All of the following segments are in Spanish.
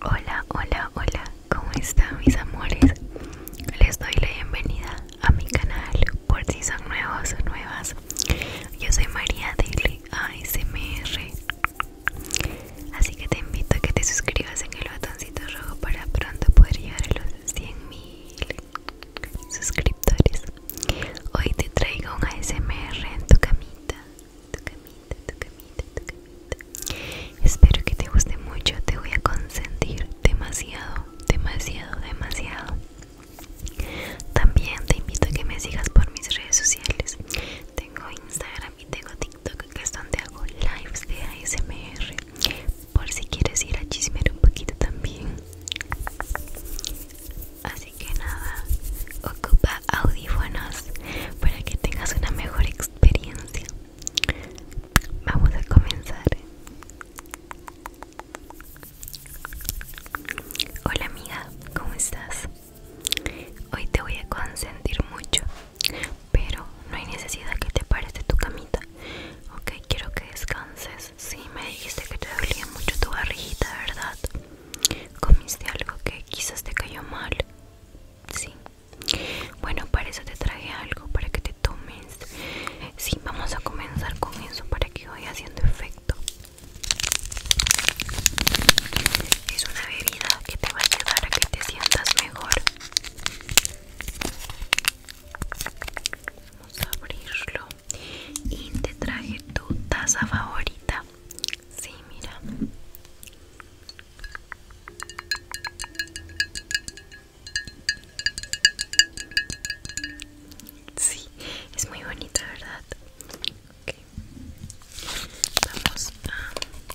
Hola, hola, hola, ¿cómo están mis amores? Les doy la bienvenida a mi canal por si son nuevos o nuevas. Yo soy María de ASMR Así que te invito a que te suscribas en el botoncito rojo para pronto poder llegar a los 100.000 suscriptores. Hoy te traigo un ASMR en tu camita, tu camita, tu camita, tu camita. Espero que te guste mucho, te voy a consentir demasiado, demasiado, demasiado. También te invito a que me sigas por mis redes sociales. Tengo Instagram y tengo TikTok que es donde hago lives de ASMR Por si quieres ir a chismear un poquito también Así que nada, ocupa audífonos para que tengas una mejor experiencia Vamos a comenzar Hola amiga, ¿cómo estás? Hoy te voy a consentir mucho pero no hay necesidad que te pares de tu camita. Ok, quiero que descanses. Sí, me dijiste que te dolía mucho tu barriguita, ¿verdad? Comiste algo que quizás te cayó mal. Sí. Bueno, para eso te traje algo, para que te tomes. Sí, vamos a comenzar con eso para que vaya haciendo efecto. Es una bebida que te va a ayudar a que te sientas mejor. Vamos a abrirlo. Y te traje tu taza favorita. Sí, mira. Sí, es muy bonita, ¿verdad? Ok Vamos a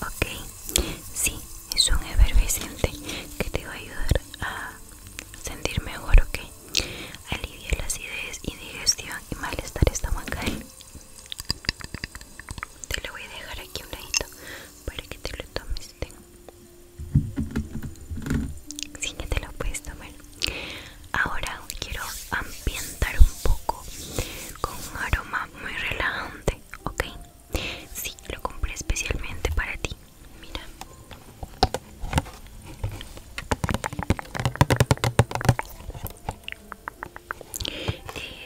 Ok, sí, es un efervescente que te va a ayudar a sentir mejor, ok. Alivia la acidez, indigestión y malestar estomacal. Te lo voy a dejar aquí un ladito para que te lo tomes. Sí que te lo puedes tomar. Ahora quiero ambientar un poco con un aroma muy relajante, ¿ok? Sí, lo compré especialmente para ti. Mira.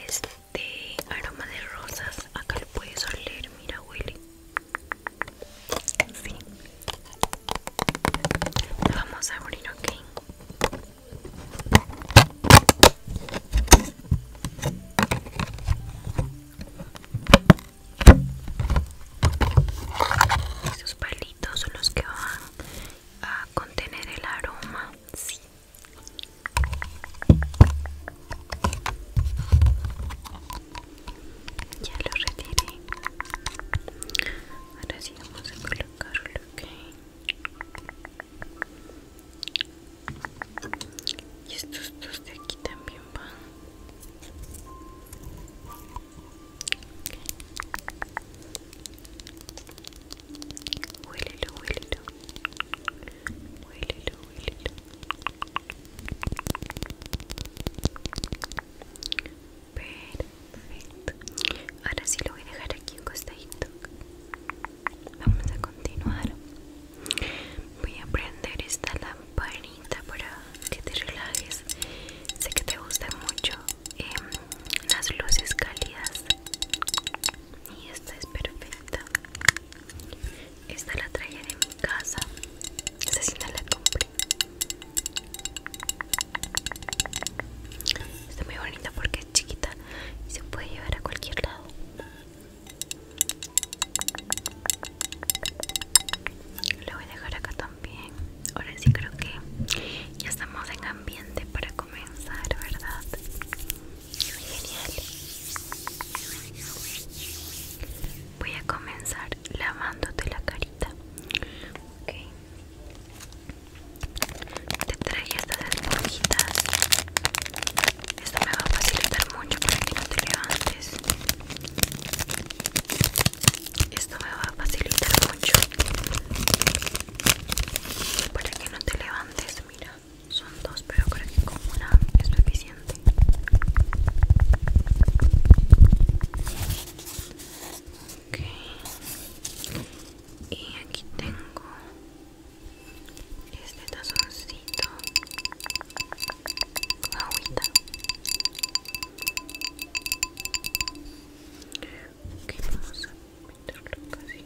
Este aroma de rosas, acá lo puedes oler, mira, huele en vamos a abrir, Okay. Estos palitos son los que van a contener el aroma, sí ya lo retiré ahora sí vamos a colocarlo ok y estos dos de aquí también van Huélelo, huélelo Huélelo, huélelo Perfecto. Ahora sí lo voy a dejar aquí un costadito. Vamos a continuar. Voy a prender esta lamparita para que te relajes. Sé que te gustan mucho em, las luces cálidas. Y esta es perfecta. Esta la traía en mi casa. Esta sí la compré. Está muy bonita porque es chiquita y se puede llevar a cualquier lado. La voy a dejar acá también. Ahora sí creo que ya estamos en ambiente para comenzar, ¿verdad? Genial. Voy a comenzar lavándote la carita. Te traigo estas esponjitas. Esto me va a facilitar mucho para que no te levantes. Esto me va a facilitar mucho para que no te levantes. Mira, son dos, pero creo que con una es suficiente y aquí tengo este tazoncito con agüita ok vamos a meterlo casi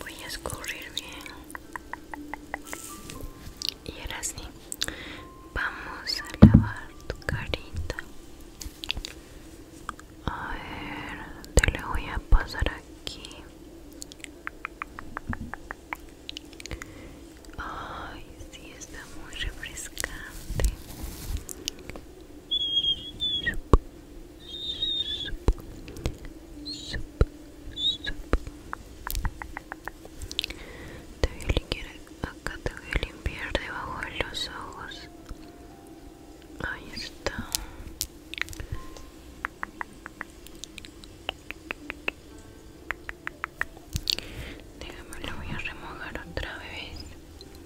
voy a escurrir bien y ahora sí vamos a lavar tu carita a ver te le voy a pasar aquí ay sí está muy refrescante te voy a limpiar acá, te voy a limpiar debajo de los ojos. Ahí está. Déjame lo voy a remojar otra vez.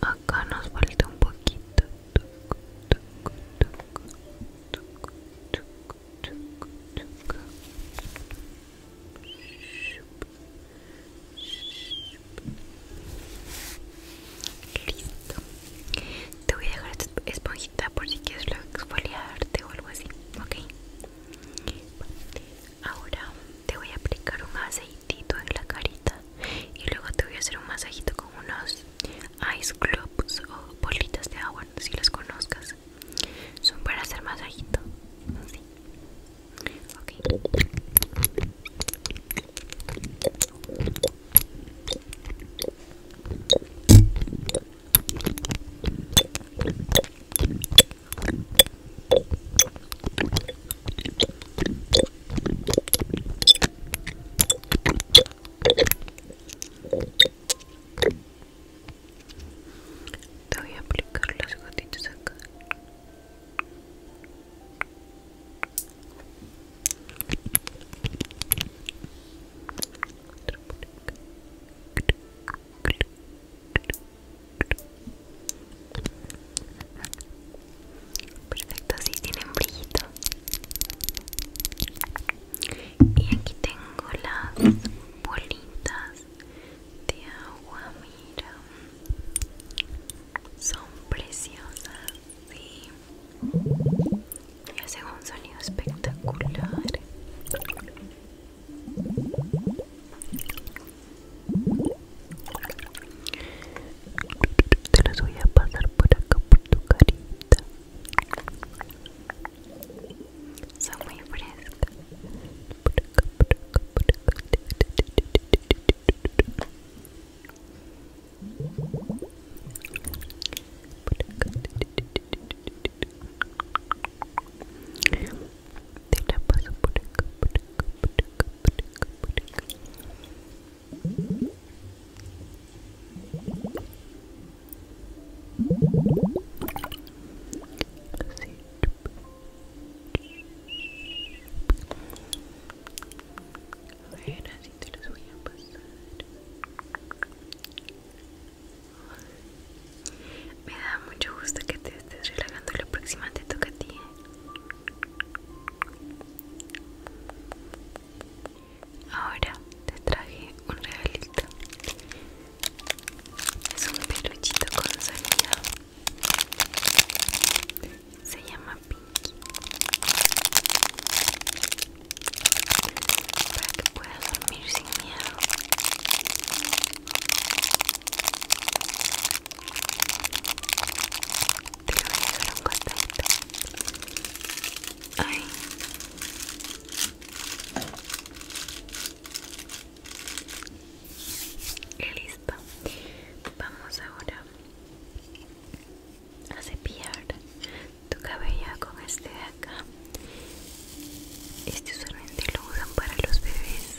acá nos falta un poquito listo te voy a dejar esta esponjita por si quieres exfoliarte o algo así ok ahora te voy a aplicar un aceitito en la carita y luego te voy a hacer un masajito con unos ice clubs o bolitas de agua, si las conozcas. Son para hacer masajito. Te voy a aplicar las gotitas acá. Otra acá. Perfecto, así tienen brillito. Y aquí tengo las bolitas de agua, mira. Son preciosas, sí. Y hacen un sonido espectacular. Te los voy a pasar por acá por tu carita. Son muy frescas. Por acá, te la paso por acá, por acá, por acá, por acá, por acá. Así. A ver, así te los voy a pasar. Me da mucho gusto que te estés relajando. La próxima te toca a ti. ¿eh? Ahora te traje un regalito. Es un peluchito con sonido. Se llama Pinky. Para que puedas dormir sin miedo. Te voy a dejar un contacto. listo. Vamos ahora a cepillar tu cabello con este de acá. Este solamente lo usan para los bebés.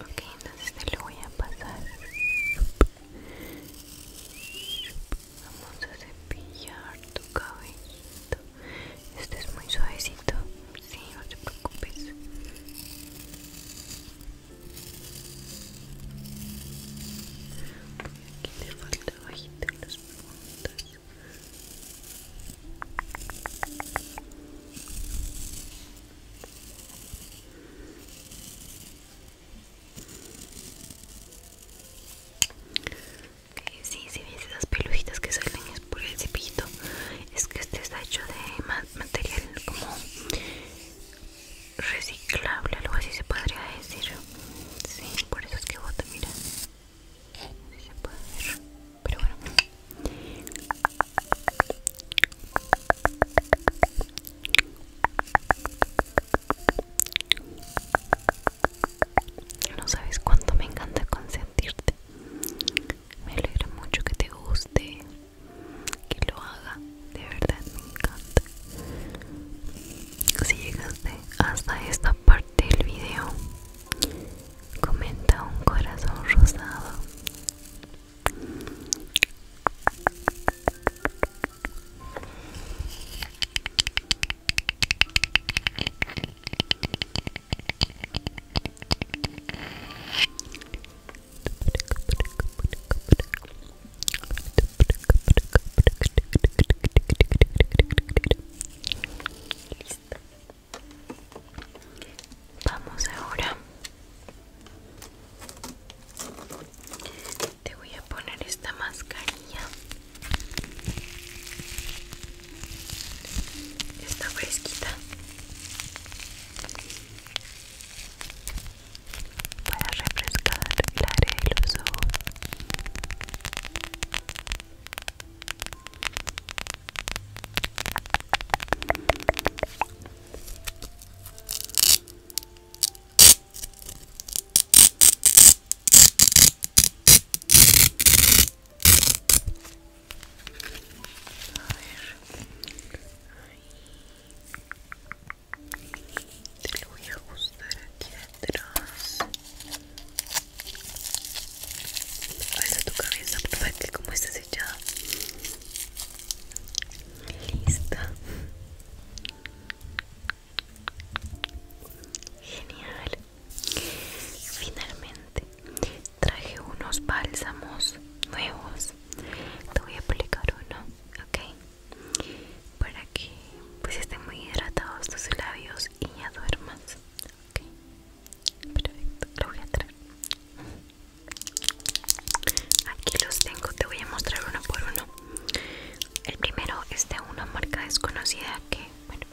Ok, entonces te lo voy a pasar. Vamos a cepillar tu cabellito. Este es muy suavecito. Sí, no te preocupes. Aquí te falta bajita en las puntas sí, si ves esas pelujitas que salen es por el cepillito. Es que este está hecho de material como reciclable, algo así se podría decir. Sí, por eso es que bota, mira no se puede ver pero bueno no sabes cuánto me encanta consentirte me alegra mucho que te guste que lo haga de verdad me encanta si llegaste hasta esta parte del video comenta un corazón rosado Vamos ahora. Te voy a poner esta mascarilla. Está fresquita. Para refrescar el área de los ojos. Ahí. Te lo voy a ajustar aquí detrás Alza tu cabeza, como estás echada. Listo. Genial. Finalmente traje unos bálsamos nuevos. Te voy a aplicar uno, ¿ok? Para que pues estén muy hidratados tus labios y ya duermas, ok perfecto lo voy a traer aquí los tengo te voy a mostrar uno por uno el primero es de una marca desconocida que bueno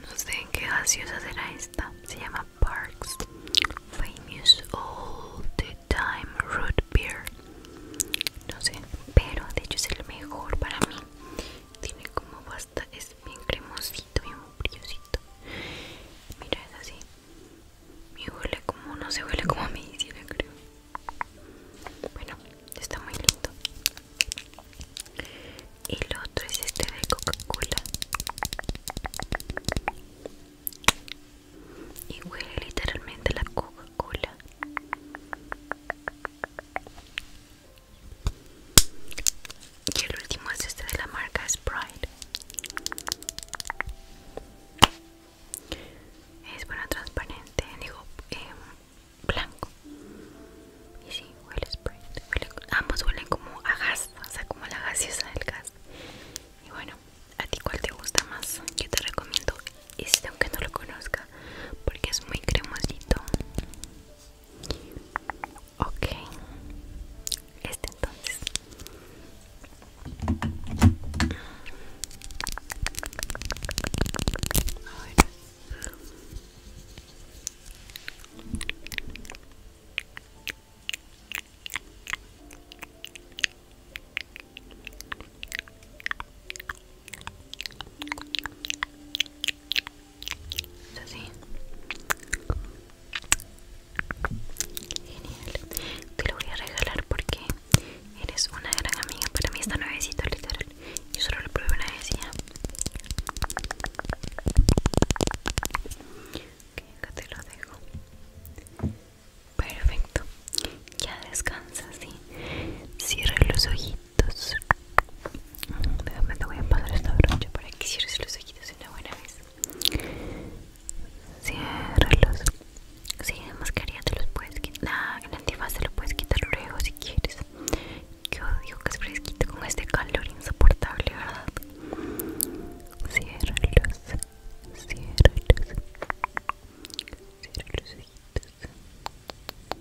no sé en qué gaseosa será esta se llama Parks Famous Old Time Root Beer no sé pero de hecho es el mejor para mí tiene como bastante es bien cremosito, bien brillosito. Mira, es así. me huele como, no se huele como a medicina, creo. Bueno, está muy lindo. Y lo otro es este de Coca-Cola. Y huele literalmente a la Coca-Cola. Y el último es este de la marca Sprite. Es bueno, transparente, digo, em, blanco. Y sí, huele Sprite. ambos huelen como a gas, o sea, como la gaseosa del gas. Y bueno, ¿a ti cuál te gusta más? Yo te recomiendo este, aunque no lo conozca, porque es muy cremosito. Okay, este entonces así. Genial. Te lo voy a regalar porque eres una gran amiga. Para mí está nuevecito, literal. Yo solo lo pruebo una vez y ya. te lo dejo. Perfecto. Ya descansa, sí. Cierra los ojitos. De Déjame, voy a pasar esta brocha para que cierres los ojitos una buena vez. Cierralos Si, sí, mascarilla te los puedes quitar. Ah, en antifaz te lo puedes quitar luego si quieres. Yo digo que es fresquito con este calor insoportable, ¿verdad? Ciérralos. Ciérralos. Cierra los ojitos.